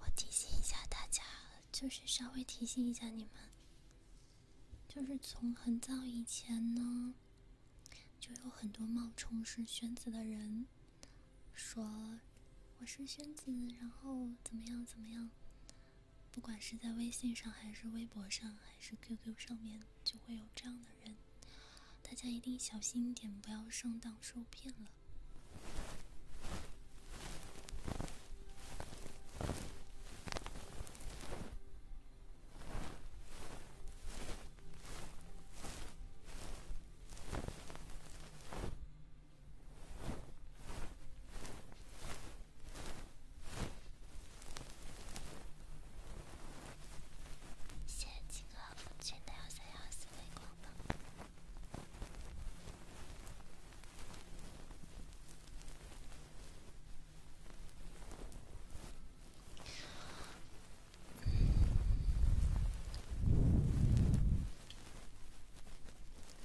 我提醒一下大家，就是稍微提醒一下你们，就是从很早以前呢，就有很多冒充是宣子的人，说我是宣子，然后怎么样怎么样。不管是在微信上，还是微博上，还是 QQ 上面，就会有这样的人，大家一定小心点，不要上当受骗了。谢谢几个风趣的幺三幺四微光灯。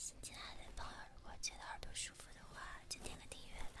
新进来的朋友，如果觉得耳朵舒服的话，就点个订阅吧。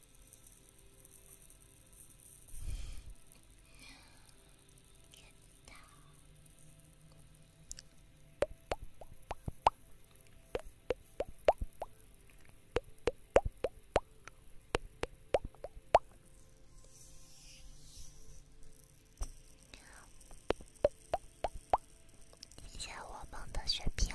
谢谢我梦的血瓶。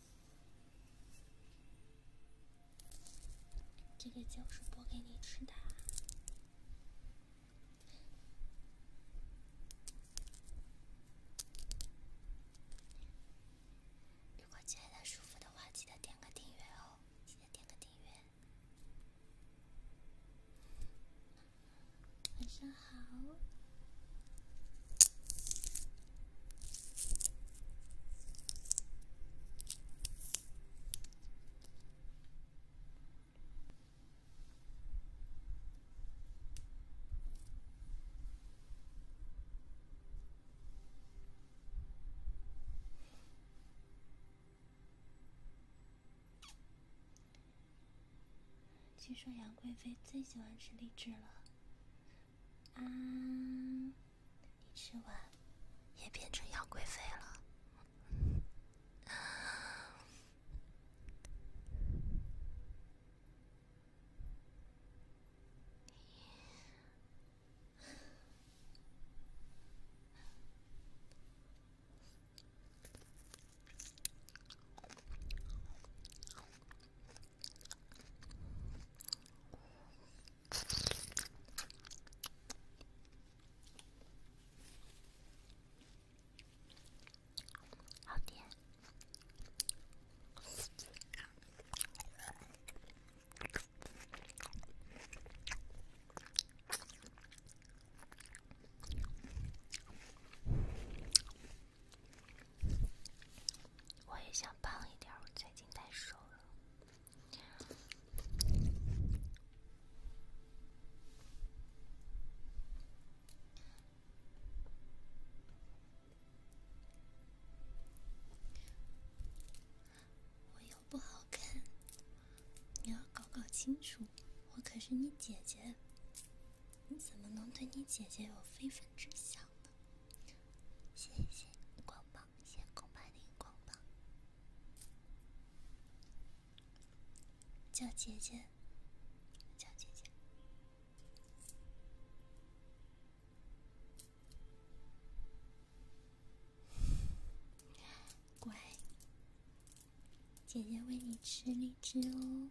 这个酒是剥给你吃的。如果觉得舒服的话，记得点个订阅哦！记得点个订阅。晚上。好。据说杨贵妃最喜欢吃荔枝了。啊，你吃完也变成杨贵妃了。好甜。我也想胖一点，我最近太瘦了，我又不好看，你要搞搞清楚，我可是你姐姐。你怎么能对你姐姐有非分之想呢？谢谢光膀，谢谢空白的荧光棒。叫姐姐，叫姐姐，乖，姐姐喂你吃荔枝哦。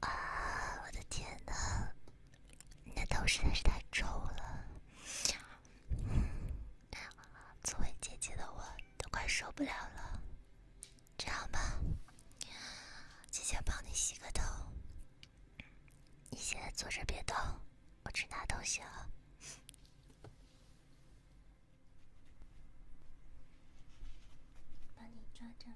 啊！我的天哪，你的头实在是太丑了。作为姐姐的我都快受不了了，这样吧，姐姐帮你洗个头，你现在坐着别动，我去拿东西了，把你抓着。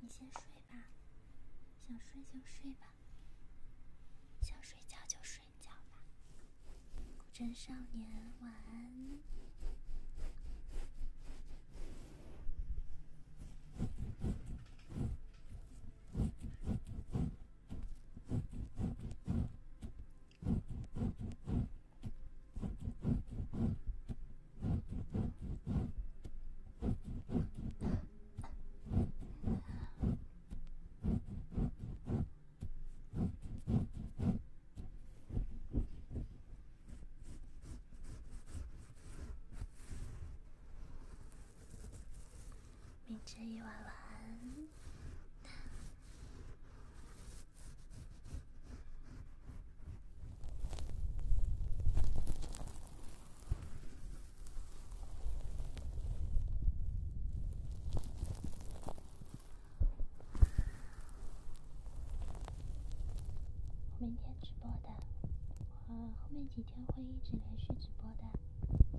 你先睡吧，想睡就睡吧，想睡觉就睡觉吧，古筝少年晚安。明天夜晚晚安。明天直播的，我后面几天会一直连续直播的。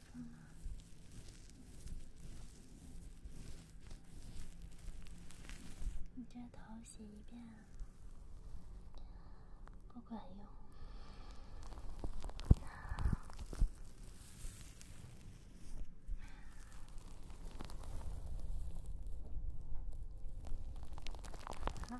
你这头洗一遍不管用。好。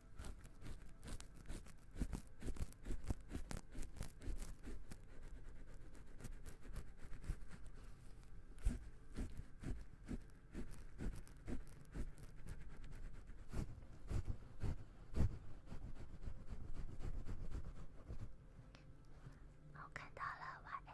我看到了 Y S。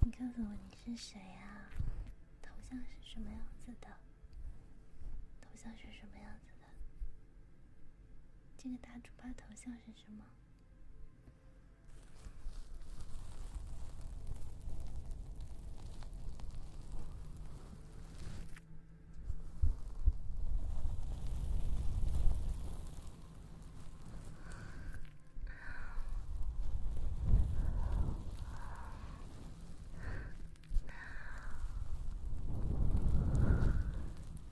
你告诉我你是谁啊？头像是什么样子的？头像是什么样子的？这个大猪八头像是什么？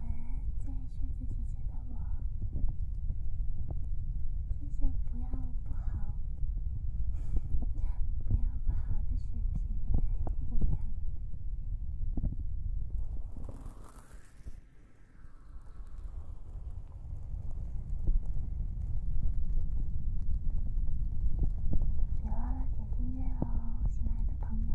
晚安，在睡不醒觉的我，睡觉不要不好，不要不好的睡眠，不良。别忘了点订阅哦，亲爱的朋友。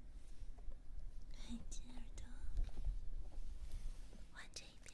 黑金耳朵，换这一边。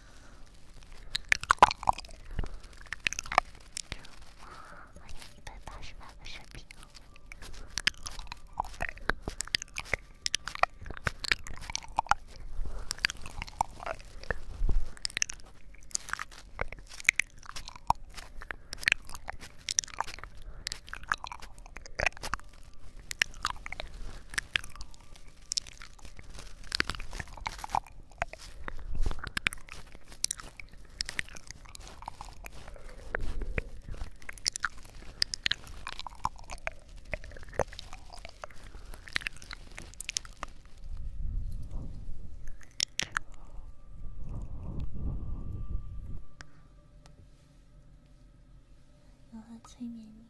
哇，我有一百八十万个视频。我要催眠你。